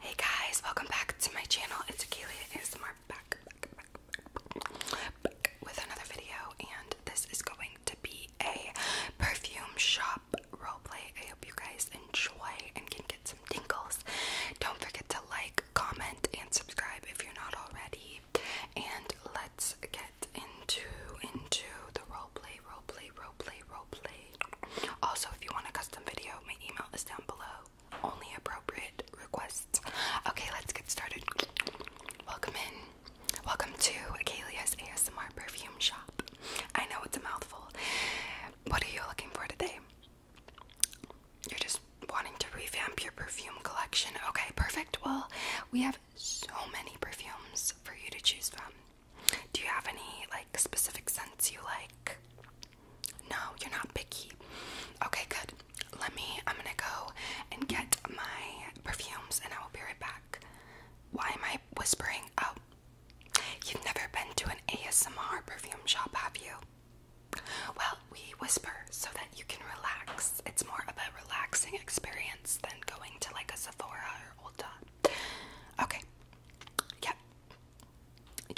Hey guys, welcome back to my channel. It's Akelia and back, back, back, back with another video, and this is going to be a perfume shop roleplay. I hope you guys enjoy and can get some tingles. Don't forget to like, comment, and subscribe if you're not already. And let's get into into the roleplay, roleplay, roleplay, roleplay. Also, if you want a custom video, my email is down below. Only appropriate requests. Okay, let's get started. Welcome in. Welcome to Akelia's ASMR perfume shop. I know it's a mouthful. What are you looking for today? You're just wanting to revamp your perfume collection. Okay, perfect. Well, we have so many perfumes for you to choose from. Do you have any like specific scents you like? No, you're not picky. Okay, good. Let me, I'm gonna go and get my perfumes and I will be right back. Why am I whispering? Oh, you've never been to an ASMR perfume shop, have you? Well, we whisper so that you can relax. It's more of a relaxing experience than going to like a Sephora or Ulta. Okay, yep,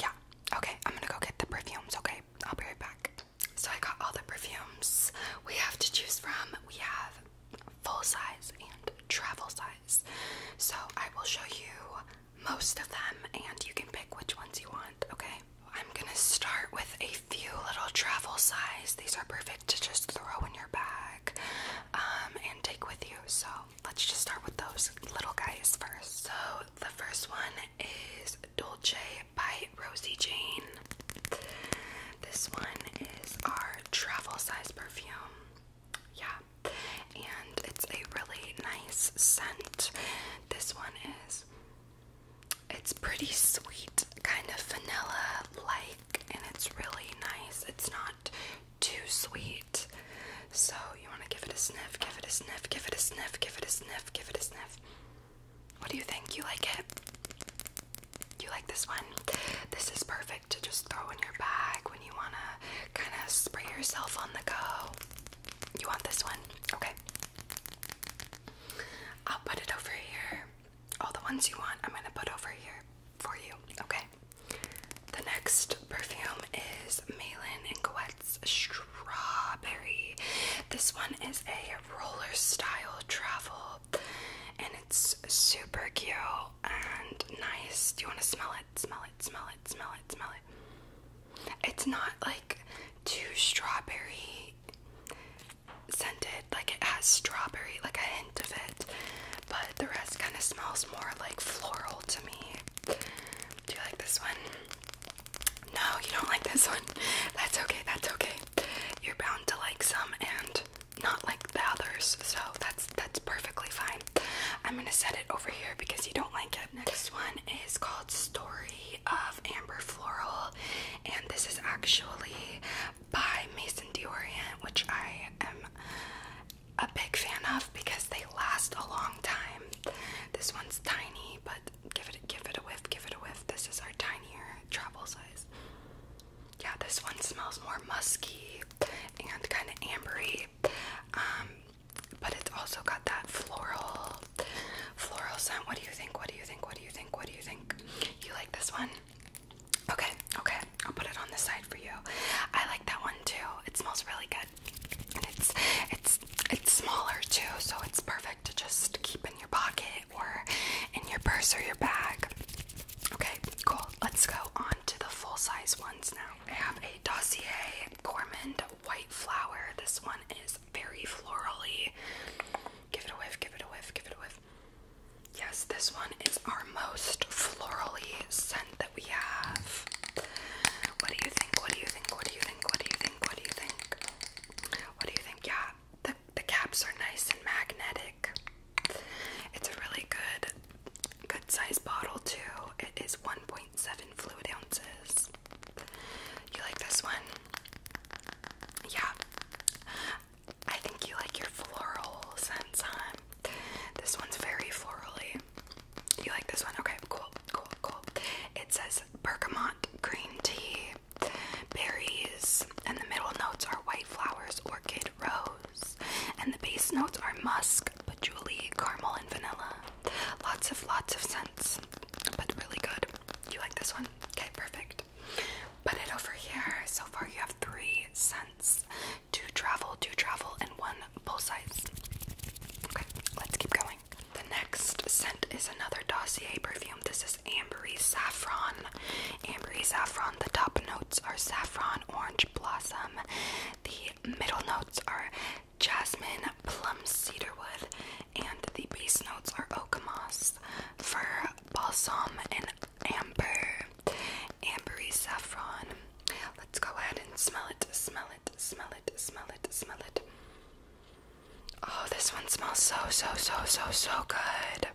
yeah. Okay, I'm gonna go get the perfumes, okay? I'll be right back. So I got all the perfumes we have to choose from. We have full size and travel size. So I will show you most of them and you can pick which ones you want, okay? I'm gonna start with a few little travel size. These are perfect to just throw in your bag um, and take with you. So let's just start with those little guys first. So the first one is Dolce by Rosie Jane. This one is our travel size perfume. Yeah. And it's a really nice scent. This one is it's pretty sweet, kind of vanilla like, and it's really nice. It's not too sweet. So you want to give it a sniff, give it a sniff, give it a sniff, give it a sniff, give it a sniff. What do you think? You like it? You like this one? This is perfect to just throw in your bag when you want to kind of spray yourself on the go. You want this one? Okay. I'll put it over here. All the ones you want, I'm going to put over here for you. Okay. The next perfume is Malin and Coette's Strawberry. This one is a roller style travel and it's super cute and nice. Do you want to smell it? Smell it, smell it, smell it, smell it. It's not like too strawberry scented, like it has strawberry, like a of it, but the rest kind of smells more like floral to me. Do you like this one? No, you don't like this one. That's okay, that's okay. You're bound to like some and not like the others, so that's that's perfectly fine. I'm gonna set it over here because you don't like it. Next one is called Story of Amber Floral, and this is actually by Maison D'Orient, which I am a big fan of because they last a long time. This one's tiny, but give it give it a whiff, give it a whiff. This is our tinier travel size. Yeah, this one smells more musky and kind of ambery. Um, but it's also got that floral floral scent. What do you think? What do you think? What do you think? What do you think? You like this one? Okay, okay. I'll put it on the side for you. I like that one too. It smells really good. And it's it's it's smaller too, so it's perfect to just keep in your pocket or in your purse or your bag. Okay, cool. Let's go on to the full-size ones now. I have a Dossier Gourmand White Flower. This one is very florally. Give it a whiff, give it a whiff, give it a whiff. Yes, this one is our most florally scent that we have. What do you think? What do you think? What do you think? What do you think? What do you think? What do you think? Yeah, the the caps are nice and magnetic. It's a really good good size bottle too. It is 1.7 fluid ounces. You like this one? Yeah. I think you like your floral scents, huh? This one's very florally. You like this one? Okay, cool, cool, cool. It says bergamot green tea, berries, and the middle notes are white flowers, orchid, rose, and the base notes are musk, patchouli, caramel, and vanilla. Lots of lots of scents, but really good. You like this one? Okay, perfect. Put it over here. So far, you have three scents: two travel, two travel, and one full size. Okay, let's keep going. The next scent is another dossier perfume. This is Ambery Saffron. Ambery Saffron. The top notes are saffron, orange blossom. The middle notes are jasmine, plum, cedarwood, and the base notes are oak moss, fir, balsam, and amber, ambery saffron. Let's go ahead and smell it, smell it, smell it, smell it, smell it. Oh, this one smells so, so, so, so, so good.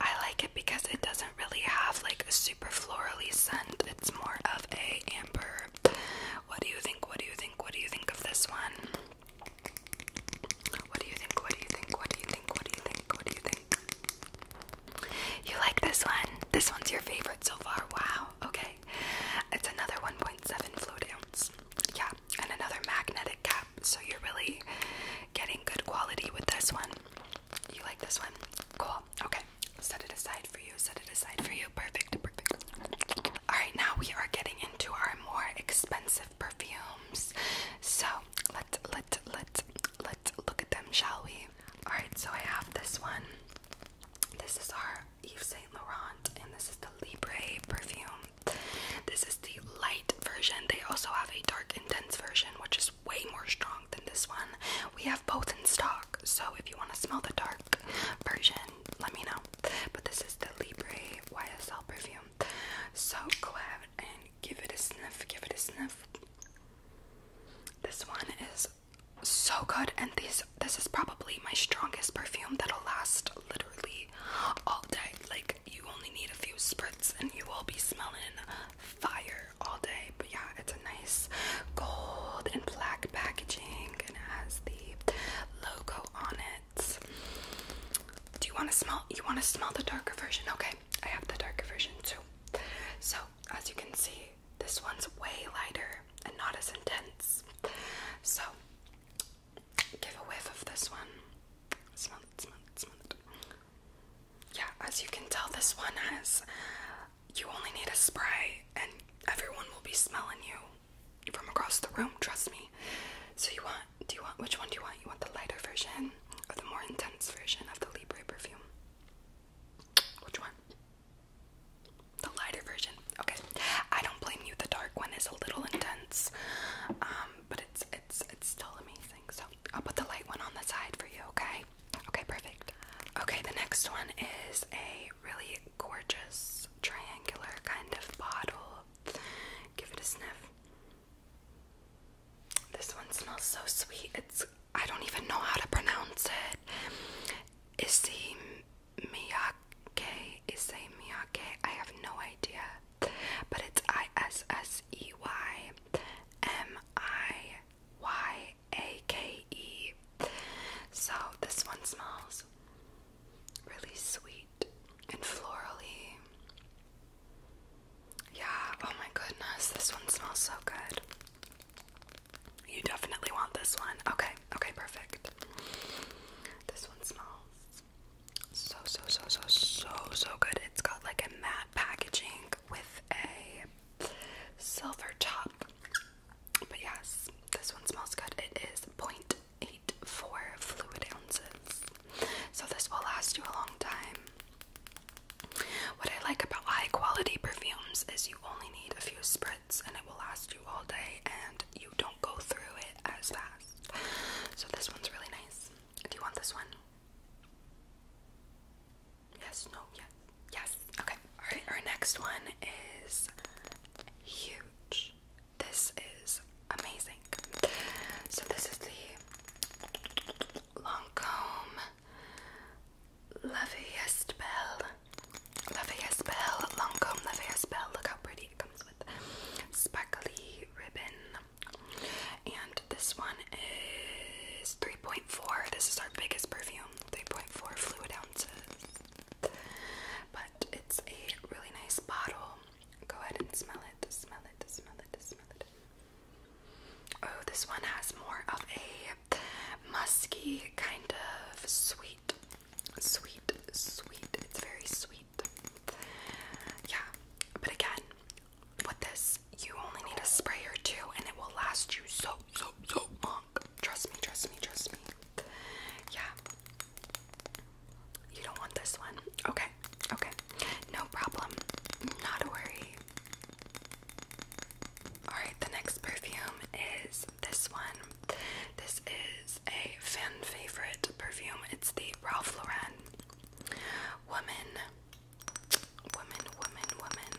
I like it because it doesn't really have like a super florally scent. It's more of a amber. What do you think? What do you think? What do you think of this one? What do you think? What do you think? What do you think? What do you think? What do you think? You like this one? This one's your favorite so far. Wow. Okay. It's another 1.7 fluid ounce. Yeah. And another magnetic cap. So you're really getting good quality with this one. You like this one? Cool. Okay. Set it aside for you. Set it aside for you. Perfect. Perfect. Alright, now we are getting into our more expensive perfumes. So let's let let let's look at them, shall we? Alright, so I have this one. This is our Yves Saint Laurent, and this is the Libre perfume. This is the light version. They also have a dark intense version, which is way more strong than this one. We have both in stock, so if you want to smell the dark version, let me know. But this is the Libre YSL perfume. So go ahead and give it a sniff, give it a sniff. This one is so good and this this is probably my strongest perfume that'll last literally all day. Like you only need a few spritz and you will be smelling fire all day. But yeah, it's a nice gold and black packaging and it has the logo on it do you want to smell? You want to smell the darker version? Okay, I have the darker version too. So as you can see, this one's way lighter and not as intense. So give a whiff of this one. Smell it, smell it, smell it. Yeah, as you can tell, this one has. You only need a spray, and everyone will be smelling you from across the room, trust me. So you want do you want which one do you want? You want the lighter version or the more intense version of the Libre perfume? Which one? The lighter version. Okay. I don't blame you. The dark one is a little intense. Um, but it's it's it's still amazing. So I'll put the light one on the side for you, okay? Okay, perfect. Okay, the next one is a really gorgeous triangular kind of bottle. Give it a sniff. This one smells so sweet. It's I don't even know how to pronounce it. Issey Miyake, Issey Miyake. I have no idea. But it's I S S E Y M I Y A K E. So this one smells really sweet and florally. Yeah, oh my goodness, this one smells so good. You definitely want this one. Okay, okay, perfect. This one smells so, so, so, so, so, so good. It's got like a matte packaging with a silver top. But yes, this one smells good. It is point. 0.84 fluid ounces. So this will last you a long time. What I like about high quality perfumes is you only need a few spritz and it will last you all day and you don't go through it as fast. So this one's really nice. Do you want this one? Yes, no, Yeah. yes. Okay. Alright, our next one is huge. This is amazing. So this is the Lancome Levee Estelle. Levee Estelle. Lancome Levee Estelle. Look how pretty it comes with sparkly ribbon. And this one is 3.4. This is our biggest perfume. 3.4 fluid ounces. But it's a really nice bottle. Go ahead and smell it, smell it, smell it, smell it. Oh, this one has more of a musky kind of sweet, sweet, sweet. It's very sweet. Yeah, but again, with this, you only need a spray or two and it will last you so, so, so Trust me, trust me, trust me. Yeah. You don't want this one. Okay, okay. No problem. Not a worry. Alright, the next perfume is this one. This is a fan favorite perfume. It's the Ralph Lauren Woman. Woman, woman, woman.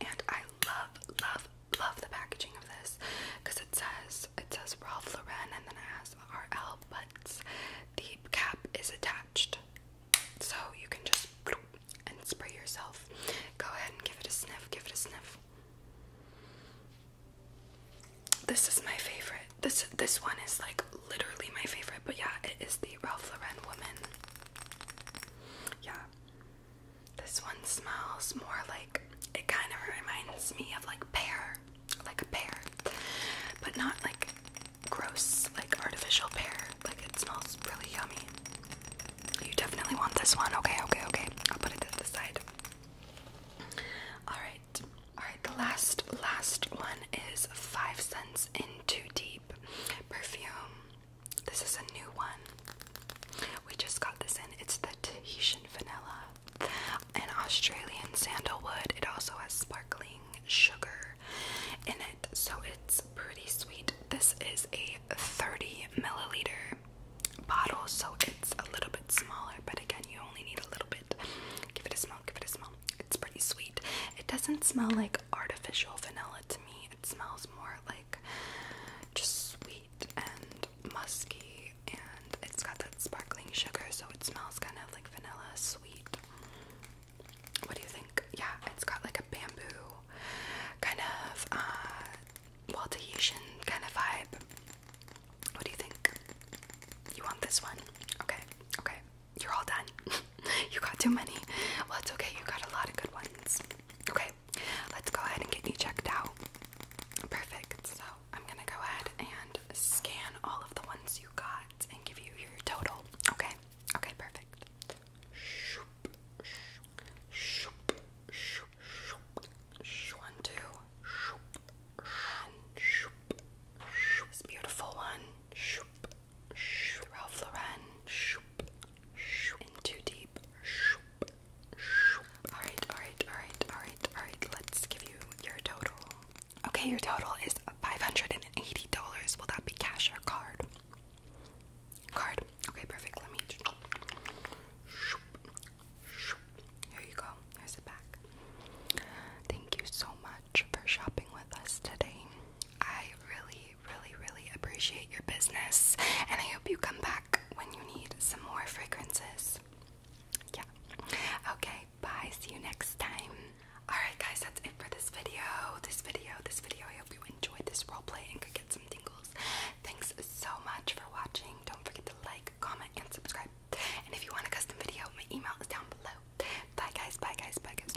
And I love, love, love the packaging of this because it says it says Ralph Lauren and then it has RL, but the cap is attached, so you can just and spray yourself. Go ahead and give it a sniff. Give it a sniff. This is my favorite. This this one is like literally my favorite. But yeah, it is the Ralph Lauren woman. Yeah. This one smells more like it kind of reminds me of like pear, like a pear, but not like gross, like artificial pear. Like it smells really yummy. You definitely want this one. Okay, okay, okay. I'll put it to the side. Alright. Alright, the last last one is Five Cents in Too Deep perfume. This is a new one. We just got this in. It's the Tahitian vanilla and Australian sandalwood. It also has sparkling sugar in it, so it's pretty sweet. This is a 30 milliliter bottle, so it's a little bit smaller, but again, you only need a little bit. Give it a smell, give it a smell. It's pretty sweet. It doesn't smell like artificial vanilla to me. It smells more like just sweet and musky, and it's got that sparkling sugar, so it smells kind of like vanilla sweet. What do you think? Yeah, it's got like a bamboo kind of uh well Tahitian kind of vibe. What do you think? You want this one? Okay, okay. You're all done. you got too many. Well, it's okay. You got a lot of good ones. Okay, let's go ahead and get you checked out. Perfect. So I'm gonna go ahead and scan all of the ones you got and give you your total. Okay. Okay. Perfect. One, two. This beautiful one. Ralph Lauren and too deep. Alright, alright, alright, alright, alright. Let's give you your total. Okay, your total is $580. Will that be cash or card? Card. Okay, perfect. Let me. There you go. Here's it back. Thank you so much for shopping with us today. I really really, really appreciate your business, and I hope you come back when you need some more fragrances. Yeah. Okay, bye. See you next time. Alright, guys, that's it for this video. This video, this video. I hope you enjoyed this roleplay and could get some tingles. Thanks so much for watching. Don't forget to like, comment, and subscribe. And if you want a custom video, my email is down below. Bye, guys. Bye, guys. Bye, guys.